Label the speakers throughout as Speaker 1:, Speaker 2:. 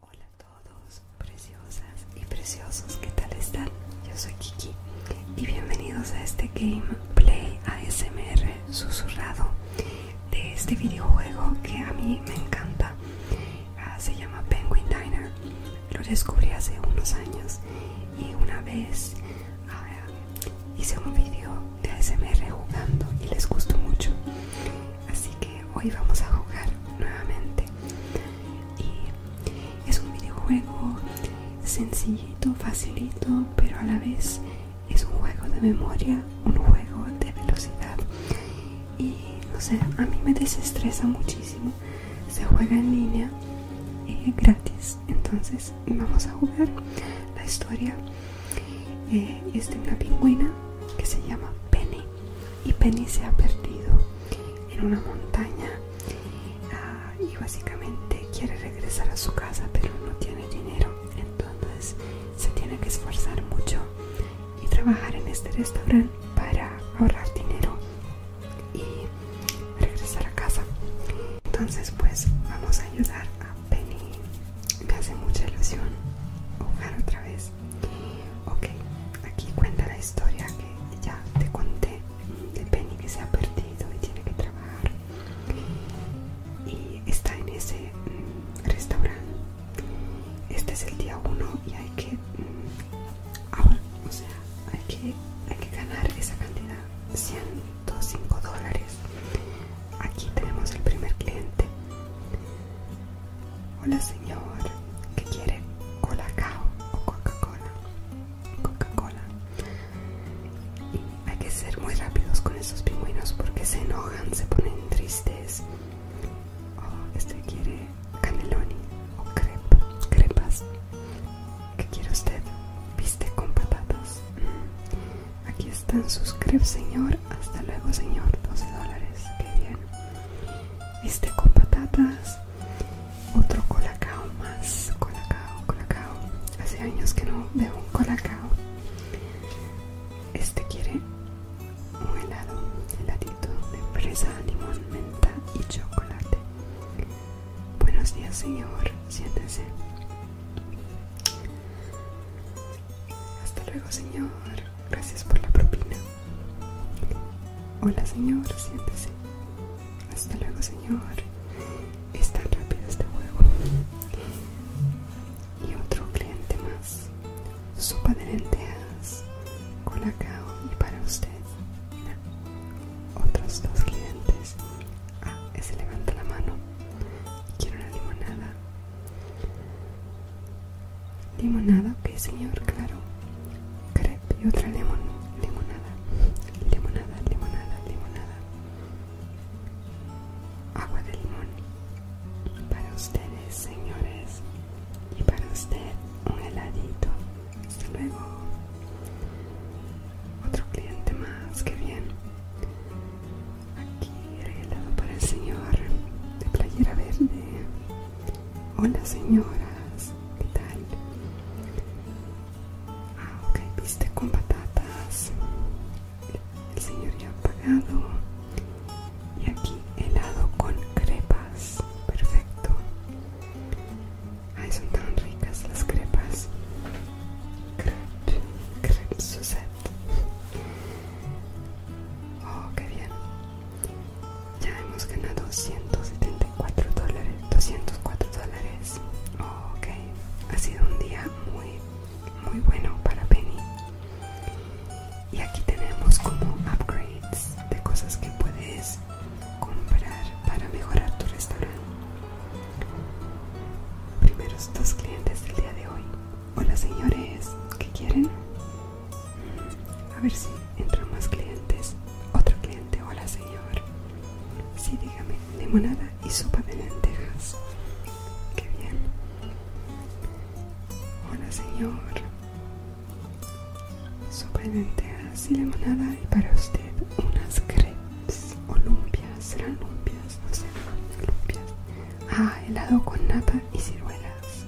Speaker 1: Hola a todos, preciosas y preciosos, ¿qué tal están? Yo soy Kiki y bienvenidos a este gameplay ASMR susurrado de este videojuego que a mí me encanta. Ah, se llama Penguin Diner. Lo descubrí hace unos años y una vez hice un video de ASMR jugando y les gustó mucho así que hoy vamos a jugar nuevamente y es un videojuego sencillito facilito pero a la vez es un juego de memoria un juego de velocidad y no sé a mí me desestresa muchísimo se juega en línea y eh, es gratis entonces vamos a jugar la historia eh, es de una pingüina que se llama Penny y Penny se ha perdido en una montaña ah, y básicamente quiere regresar a su casa pero no tiene dinero entonces se tiene que esforzar mucho y trabajar en este restaurante para ahorrar dinero y regresar a casa entonces pues vamos a ayudar a Penny me hace mucha ilusión jugar otra vez Ok, aquí cuenta la historia que ya te conté del Penny que se ha perdido y tiene que trabajar. Y está en ese mm, restaurante. Este es el día 1 y hay que... Mm, ahora, o sea, hay que, hay que ganar esa cantidad. 105 dólares. Aquí tenemos el primer cliente. Hola señor, ¿qué quiere? ¿Cola o Coca-Cola? Coca-Cola. Hay que ser muy rápidos con esos pingüinos porque se enojan, se ponen tristes. Oh, este quiere caneloni o crepas. ¿Qué quiere usted? Viste con patatas. Mm. Aquí están sus crepes, señor. Hasta luego, señor. 12 dólares. Qué bien. Este con patatas. Otro colacao más. Colacao, colacao. Hace años que no veo un colacao. Este quiere un helado. Heladito de fresa, limón, menta y chocolate. Buenos días, señor. Siéntese. Hasta luego, señor. Gracias por la propina. Hola, señor. Siéntese. Hasta luego, señor. está rápido este juego. Y otro cliente más. Sopa de lentejas, colacao y para usted. Otros dos clientes. Ah, ese levanta la mano. Quiero una limonada Limonada, ok señor, claro. Crepe y otra limonada. Limonada, limonada, limonada. Agua de limón. Para ustedes, señores. Y para usted, un heladito. Hasta luego. Otro cliente más, que bien. Aquí helado para el señor de playera verde. Hola señoras, ¿qué tal? Ah, ok, viste con patatas. El señor ya ha pagado. Y aquí helado con crepas. Perfecto. Ay, son tan ricas las crepas. crep, sucede. Oh, qué bien. Ya hemos ganado 174 dólares, 204 dólares. Oh, ok, ha sido un día muy, muy bueno para Penny. Y aquí tenemos como upgrades de cosas que puedes comprar para mejorar tu restaurante. Primeros dos clientes del día de hoy. Hola señores, ¿qué quieren? A ver si entran más clientes. Otro cliente, hola señor. Sí, dígame, limonada y sopa de lentejas. Qué bien. Hola señor. Sopa de lentejas y limonada y para usted unas crepes o lumpias, serán lumpias, no sé, lumpias. Ah, helado con nata y ciruelas.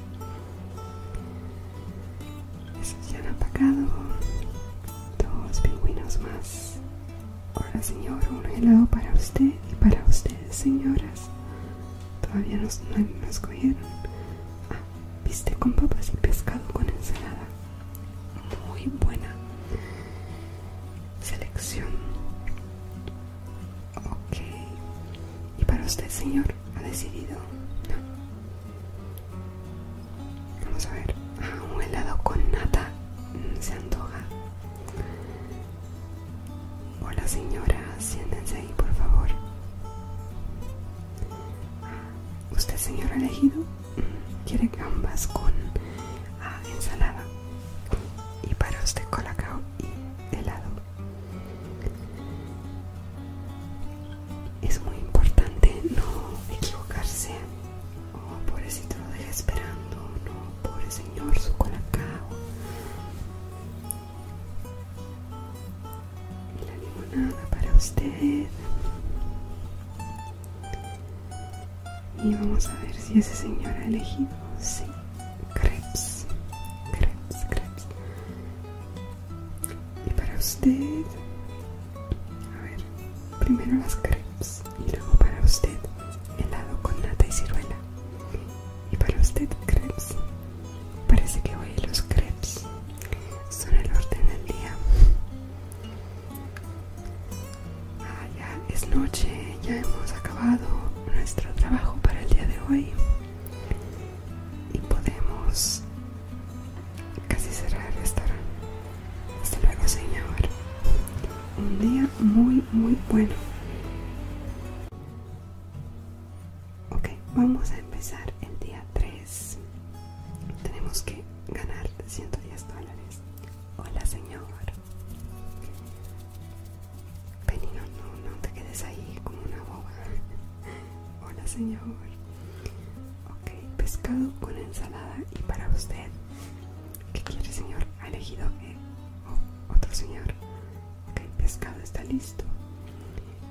Speaker 1: Esos ya han apagado. Dos pingüinos más. Ahora, señor, un helado para usted y para ustedes, señoras. Todavía no escogieron. Ah, viste con papas y pescado con ensalada. Muy buena selección. Ok. ¿Y para usted, señor? ¿Ha decidido? No. Vamos a ver. Ah, un helado con nata. Mm, se antoja. Hola, señora. Siéntense ahí, por favor. Ah, ¿Usted, señor ha elegido? Mm, ¿Quiere gambas con ah, ensalada? y para usted, colacao y helado. Es muy importante no equivocarse. Oh, pobrecito, lo deja esperando. No, pobre señor, su colacao. La limonada para usted. Y vamos a ver si ese señor ha elegido. Sí, crepes, crepes, crepes. Y para usted, a ver, primero las crepes y luego para usted helado con nata y ciruela. Y para usted crepes. Parece que hoy los crepes son el orden del día. Ah, ya es noche, ya hemos acabado nuestro trabajo para el día de hoy y podemos casi cerrar el restaurante. Hasta luego, señor. Un día muy, muy bueno. Ok, vamos a empezar el día 3. Tenemos que ganar 110 dólares. Hola, señor. Benino no, no te quedes ahí como una boba. Hola, señor. Ok, pescado con ensalada. Y para usted, ¿qué quiere, señor? Ha elegido eh, otro señor. Ok, pescado está listo.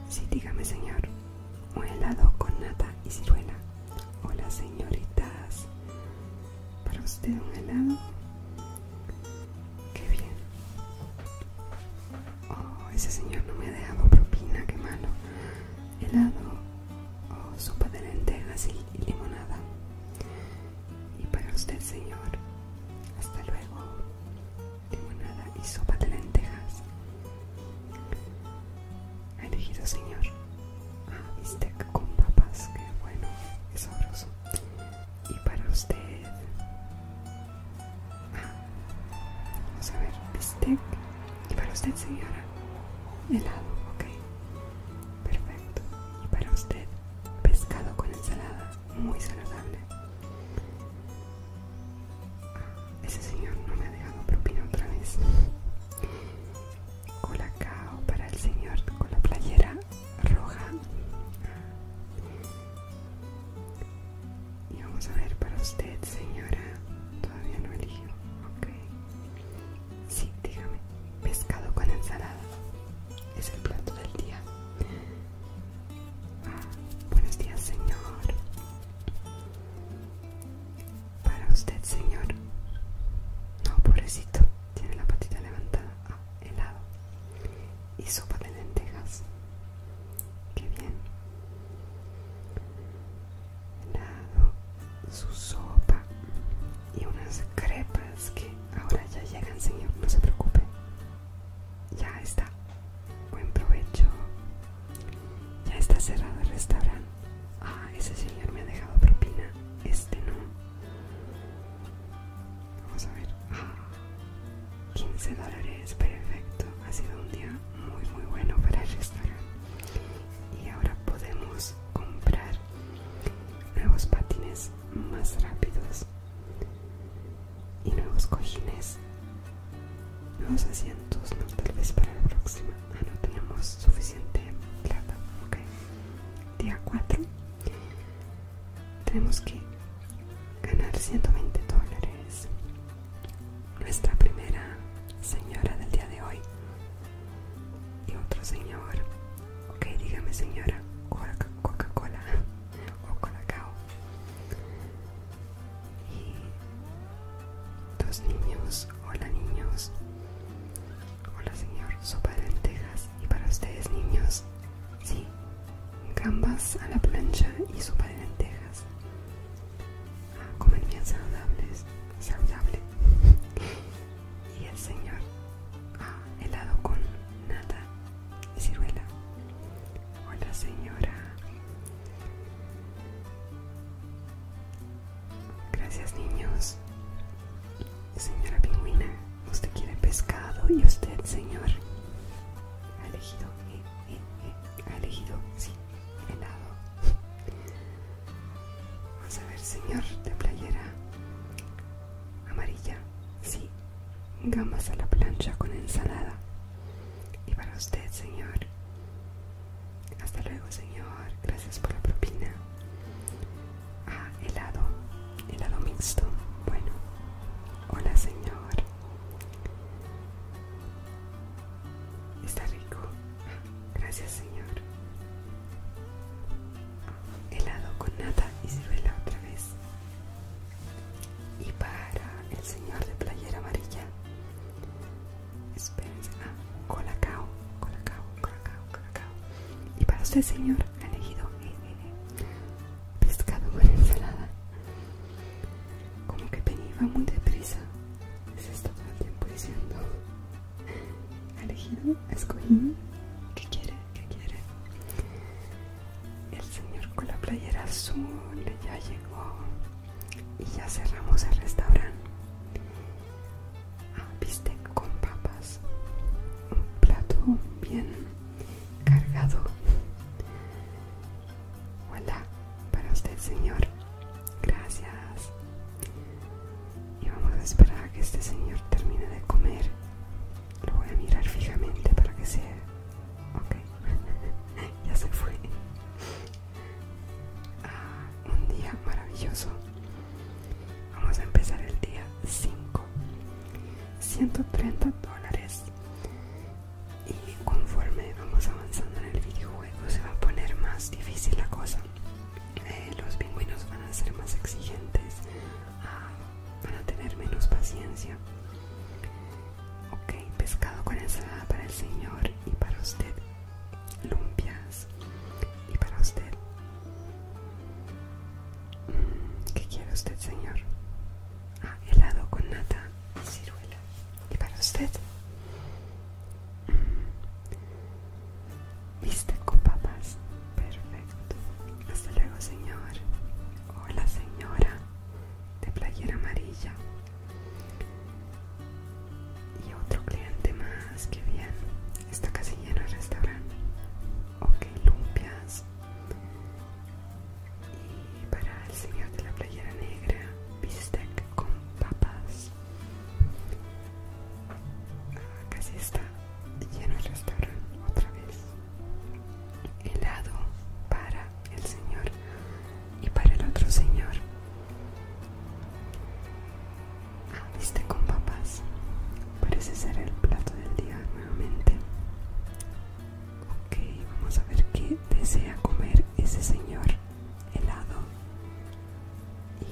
Speaker 1: Sí, dígame, señor. Un helado con nata y ciruela. Hola, señoritas. Para usted, un helado. Qué bien. Oh, ese señor no me ha dejado propina, qué malo. Helado o oh, sopa de lentejas y, limonada. Y para usted, señor. Hasta luego. Limonada y sopa de lentejas. Ha elegido, señor. Ah, bistec con papas, qué bueno, es sabroso y para usted vamos a ver bistec y para usted señora helado ok perfecto y para usted pescado con ensalada muy saludable ah, ese señor no me ha dejado propina otra vez o para el señor con la playera roja. Y vamos a ver para usted, señora. Todavía no eligió, Ok. Sí, dígame. Pescado con ensalada. Es el plato del día. Ah, buenos días, señor. Para usted, señor. No, pobrecito. Tiene la patita levantada helado. Y sopa de lentejas. Qué bien. Helado, su sopa y unas crepas que ahora ya llegan, señor. No se preocupe. Ya está. Buen provecho. Ya está cerrado el restaurante. Ah, ese señor me ha dejado propina. Este no. Vamos a ver. 15 dólares, perfecto. Ha sido un día muy muy bueno para el restaurante. Y ahora podemos comprar nuevos patines más rápidos y nuevos cojines, nuevos asientos, no tal vez para la próxima. Ah, no tenemos suficiente plata. Ok. Día 4. Tenemos que ganar 120 dólares. Nuestra primera señora del día de hoy. Y otro señor. Ok, dígame señora. Coca-Cola o Colacao. Y dos niños. Hola niños. Hola señor, sopa de lentejas. ¿Y para ustedes niños? Sí, gambas a la plancha y sopa de lentejas. Ah, comen bien saludables. Saludable. y el señor, ah, helado con nata y ciruela. Hola señora. Gracias niños. Señora pingüina, usted quiere pescado y usted, señor, ha elegido, eh, eh, eh, ha elegido, sí, helado. Vamos a ver, señor, de playera amarilla, sí, gambas a la plancha con ensalada. Y para usted, señor. Hasta luego, señor. Gracias por la propina. Ah, helado, helado mixto. Bueno, hola señor. Está rico. Gracias señor. Helado con nata y ciruela otra vez. Y para el señor de playera amarilla. Esperen Ah, colacao, colacao, colacao. Y para usted, señor, ha elegido eh, eh, pescado con ensalada. Como que venía muy deprisa. Se está todo el tiempo diciendo. Ha elegido, escogido. ¿Qué quiere? ¿Qué quiere? El señor con la playera azul ya llegó. Y ya cerramos el restaurante. Ah, ¿viste? con papas, un plato bien cargado. Hola, para usted señor, gracias. Y vamos a esperar a que este señor termine de comer. Lo voy a mirar fijamente para que sea... Ok, ya se fue. Ah, un día maravilloso. Vamos a empezar el día 5. 130 dólares. Y conforme vamos avanzando en el videojuego se va a poner más difícil la cosa. Eh, los pingüinos van a ser más exigentes. Ah, van a tener menos paciencia. Ok, pescado con ensalada para el señor y para usted lumpias y para usted mm, ¿qué quiere usted señor? ah, helado con nata y ciruela y para usted mm, viste con papas perfecto hasta luego señor hola señora de playera amarilla y otro cliente más, que bien. Está casi lleno el restaurante. Ok, lumpias. Y para el señor de la playera negra, bistec con papas. Ah, casi está lleno el restaurante otra vez. Helado para el señor y para el otro señor. Viste con papas. Parece ser el plato del día nuevamente. Ok, vamos a ver qué desea comer ese señor helado. Y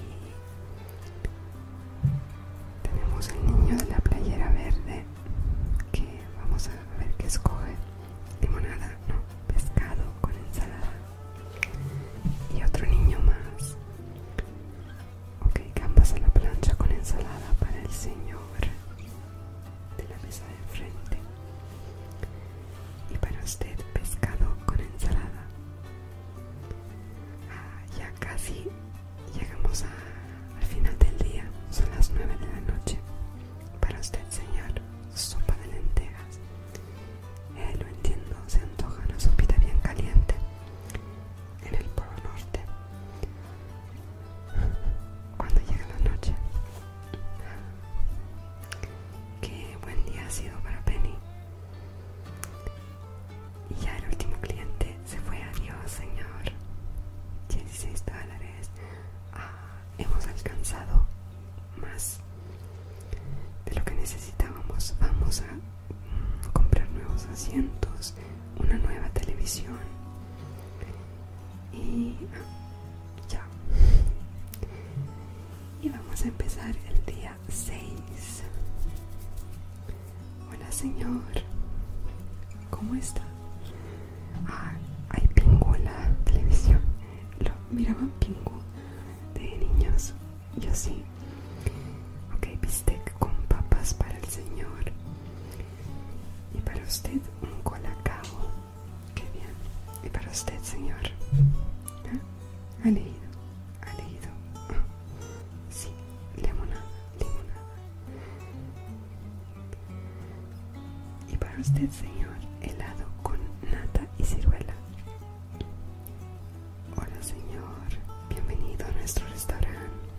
Speaker 1: tenemos el niño de la playera verde que vamos a ver qué escoge. Limonada, no, pescado con ensalada y otro niño más. Ok, campas a la plancha con ensalada para el señor de la mesa de frente Y para usted, pescado con ensalada. Ah, ya casi llegamos al final del día, son las 9 de la noche. Para usted, señor, sopa de lentejas eh, lo entiendo, se antoja una sopita bien caliente en el polo norte cuando llega la noche. Qué buen día ha sido para Penny. Y ya el último cliente se fue. Adiós, señor. 16 dólares. Ah, hemos alcanzado más de lo que necesitábamos. Vamos a mm, comprar nuevos asientos, una nueva televisión y ah, ya. Y vamos a empezar el día 6. Hola señor, ¿cómo está? Ah, hay pingo la televisión. Lo miraban pingo de niños yo sí Ok, bistec con papas para el señor. Y para usted un colacao. Qué bien. Y para usted, señor. ¿Ah? Ha leído, ha leído. Sí, limonada. Y para usted, señor, helado con nata y ciruela. Hola señor, bienvenido a nuestro restaurante.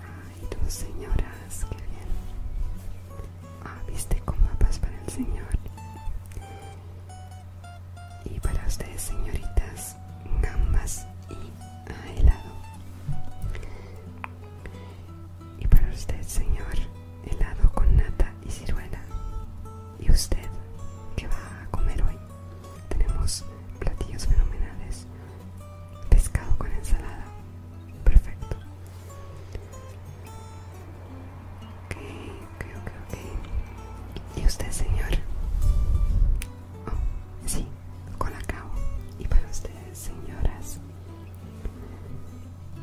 Speaker 1: Ay, dos señoras, qué bien. Ah, viste con papas para el señor. Y para ustedes señoritas, gambas y helado. Y para usted señor, helado con nata y ciruela. ¿Y usted qué va a comer hoy? Tenemos platillos fenomenales. Pescado con ensalada. Perfecto. Ok, ok, ok, ok. ¿Y usted, señor? Oh, sí, cabo ¿Y para ustedes, señoras?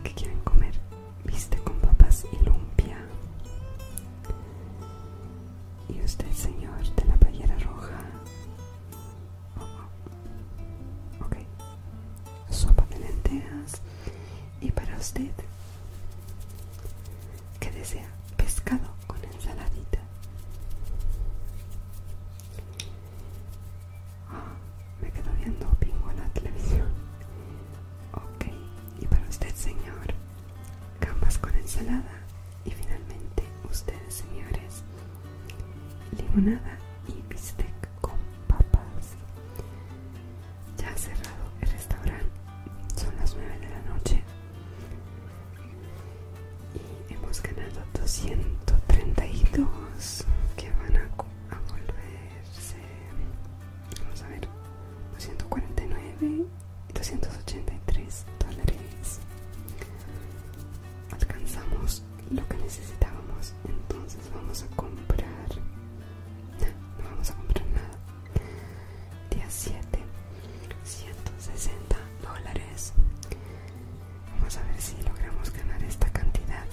Speaker 1: ¿Qué quieren comer? viste con papas y lumpia. Y usted, señor de la playera roja. Ok. Sopa de lentejas. Y para usted, ¿qué desea? Pescado con ensaladita. Ah, me quedo viendo pingo en la televisión. Ok, y para usted señor campas con ensalada y finalmente ustedes señores limonada y bistec con papas ya ha cerrado el restaurante son las 9 de la noche y hemos ganado 232 que van a volverse Vamos a ver, 249 y 283 dólares. Alcanzamos lo que necesitábamos, entonces vamos a comprar. No, no vamos a comprar nada. Día 7, 160 dólares. Vamos a ver si logramos ganar esta cantidad.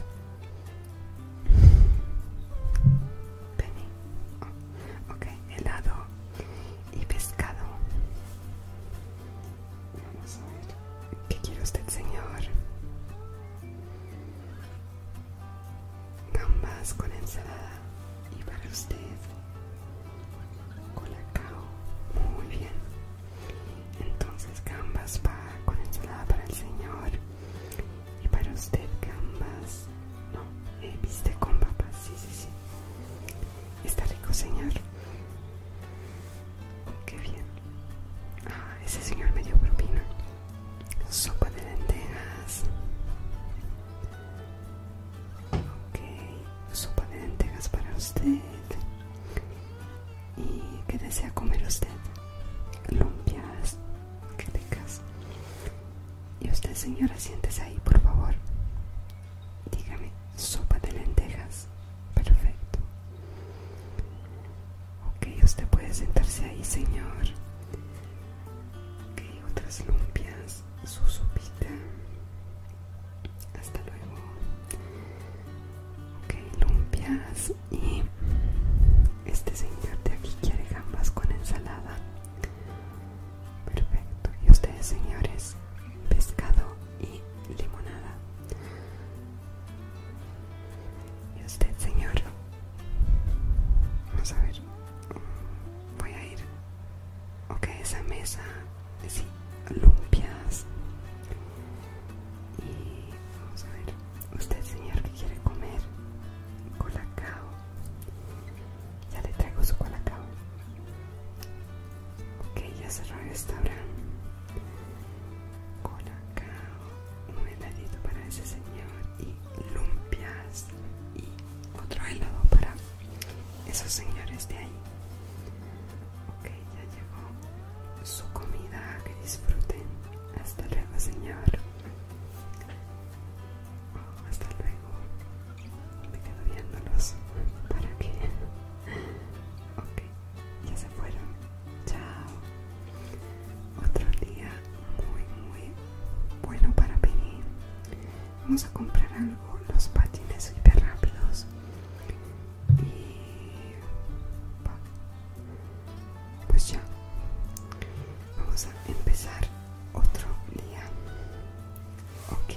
Speaker 1: Penny. ok, helado y pescado. Vamos a ver. ¿Qué quiere usted, señor? Gambas con ensalada. Y para usted, Con cao Muy bien. Entonces, gambas va con ensalada para el señor. Y para usted gambas, no, eh, viste con papas, sí, sí, sí. Está rico, señor. Oh, qué bien. Ah, ese señor me dio propina. Sopa de lentejas. Ok, sopa de lentejas para usted. ¿Y qué desea comer usted? Lumpias tengas Y usted, señora, siéntese ahí, por favor. Dígame, sopa de lentejas. Perfecto. Ok, usted puede sentarse ahí, señor. Ok, otras lumpias, su sopita. Hasta luego. Ok, lumpias y este señor de aquí quiere gambas con ensalada. Perfecto. Y ustedes señores, pescado y limonada. Y usted señor, vamos a ver, voy a ir, ok, esa mesa, sí, lumpias. Y vamos a ver Usted señor que quiere comer colacao. Ya le traigo su colacao. Ok, ya cerró el restaurante. Colacao, un heladito para ese señor y lumpias y otro helado para esos señores de ahí. Ok, ya llegó su comida, que disfruten. Hasta luego, señor. Hasta luego. Me quedo viéndolos. ¿Para que Ok, ya se fueron. Chao. Otro día muy, muy bueno para venir. Vamos a comprar algo. Los patines hiper rápidos. Y pues ya vamos a empezar otro día ok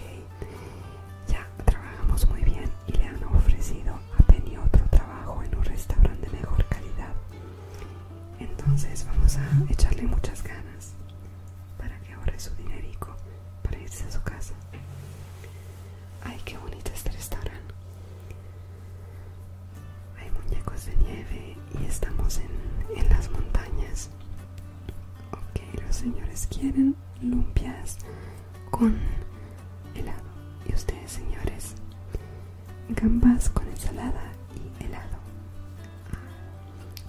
Speaker 1: ya trabajamos muy bien y le han ofrecido a Penny otro trabajo en un restaurante de mejor calidad entonces vamos a echarle muchas ganas para que ahorre su dinerico para irse a su casa ay qué bonito este restaurante hay muñecos de nieve y estamos en, las montañas. Ok, los señores quieren lumpias con helado. Y ustedes, señores, gambas con ensalada y helado.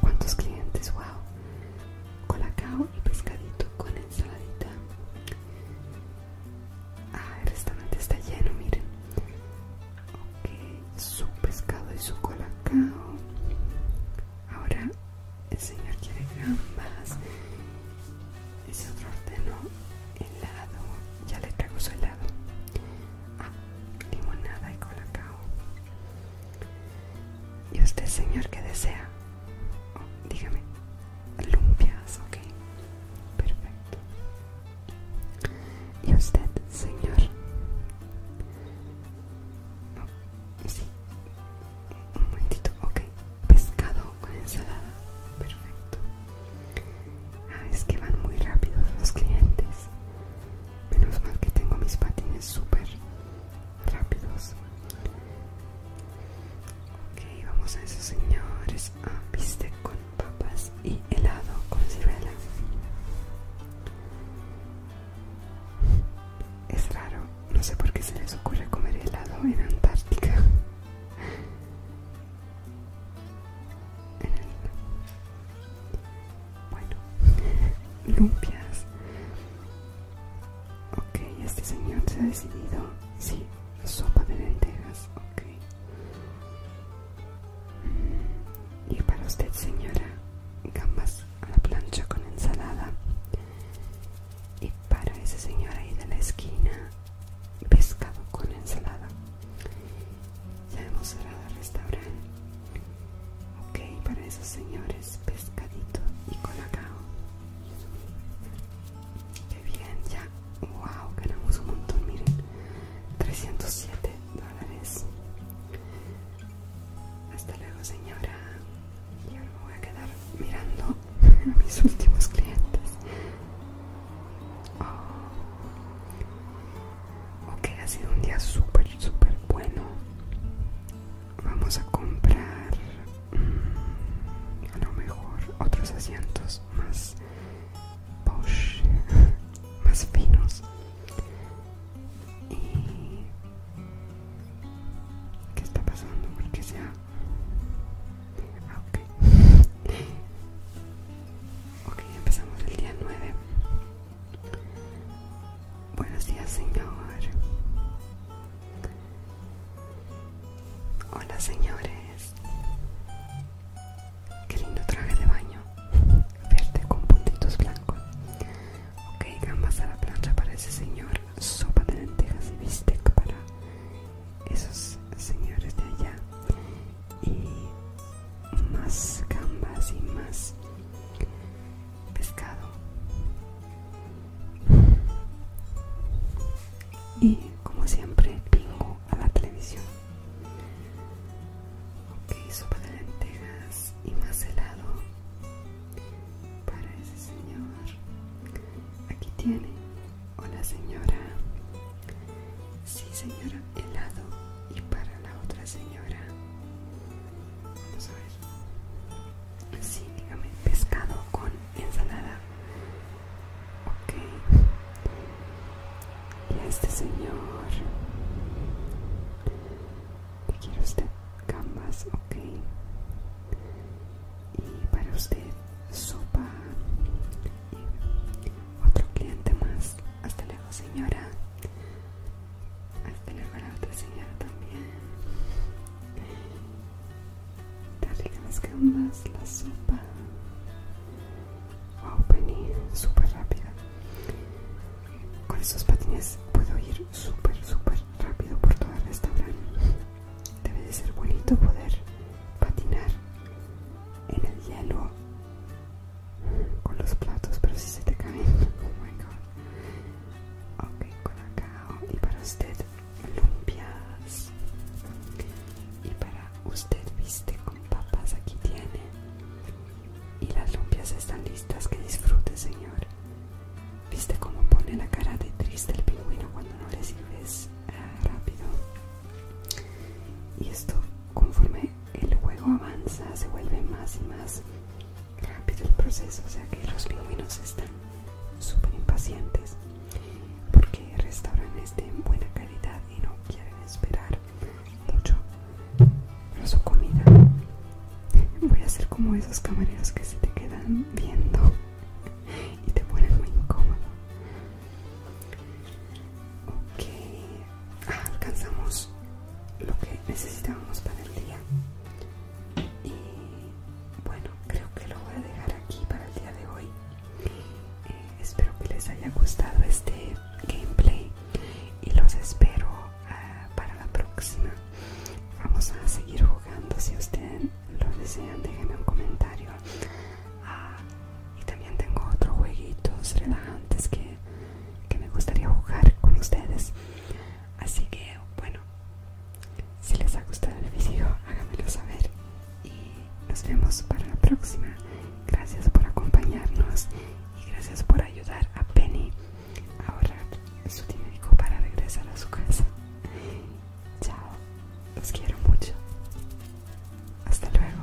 Speaker 1: ¿Cuántos clientes? ¡Wow! Colacao y pescadito con ensaladita. Ah, el restaurante está lleno, miren. Ok, su pescado y su colacao. Ahora el señor quiere gambas. Ese otro ordenó helado. Ya le traigo su helado. Ah, limonada y colacao. ¿Y usted, señor, qué desea? Oh, dígame, lumpias, ok. Perfecto. Y usted, señor. sí. Un momentito, ok. Pescado con ensalada. Perfecto. Ah, es que van muy rápidos los clientes. Menos mal que tengo mis patines súper rápidos. Ok, vamos a eso, señores. Ah, viste, con papas y helado con ciruela. Es raro, no sé por qué se les ocurre comer helado en Antártica. Bueno, lumpias. Ok, este señor se ha decidido. Sí, sopa de lentejas. Ok. Y para usted, señora, gambas a la plancha con ensalada. Y para ese señora ahí de la esquina, pescado con ensalada. Ya hemos cerrado el restaurante. Ok, para esos señores, pescadito y colacao. Qué bien, ya wow ganamos un montón miren 307 dólares hasta luego señora y ahora me voy a quedar mirando a mis últimos clientes oh. ok ha sido un día súper súper bueno vamos a comprar mm, a lo mejor otros asientos más posh más finos y ¿qué está pasando? porque sea ah, ok ok empezamos el día 9 buenos días señor Hola señores. Qué lindo traje de baño. Verde con puntitos blancos. Ok, gambas a la plancha para ese señor. Sopa de lentejas y bistec para esos señores de allá. Y más gambas y más pescado. Y como siempre, Pingo a la televisión. Ok, sopa de lentejas y más helado para ese señor. Aquí tiene. Hola señora. Sí señora, helado y para la otra señora. Vamos a ver. Sí, dígame, pescado con ensalada. Ok. Y este señor. Que quiere usted? Gambas, ok. Y para usted, sopa. otro cliente más. Hasta luego, señora. Hasta luego, la otra señora también darle las gambas, la sopa. Wow, Penny, súper rápida. Con estos patines puedo ir súper, súper rápido por todo el restaurante. Debe de ser bonito poder patinar en el hielo con los platos, pero si se te caen, oh my god. Ok, con acá y para usted Lumpias y para usted viste con papas aquí tiene y las lumpias están listas que disfrute señor viste cómo pone la cara de triste el pingüino cuando no le sirves eh, rápido y esto conforme el juego avanza se vuelve más y más rápido el proceso o sea que los pingüinos están súper impacientes porque el restaurante este en buena calidad y no quieren esperar mucho por su comida. Voy a ser como esos camareros que se te quedan viendo y te ponen muy incómodo. Ok, ah, alcanzamos lo que necesitábamos para el día. Y bueno, creo que lo voy a dejar aquí para el día de hoy. Eh, espero que les haya gustado este gameplay y los espero ah, para la próxima. Vamos a seguir jugando si ustedes lo desean, déjenme un comentario. Ah, y también tengo otros jueguitos relajantes que, que me gustaría jugar con ustedes. Así que bueno, si les ha gustado el video, háganmelo saber. Y nos vemos para la próxima. Gracias por acompañarnos y gracias por ayudar a Penny a ahorrar su dinero para regresar a su casa. Chao, los quiero mucho. Hasta luego.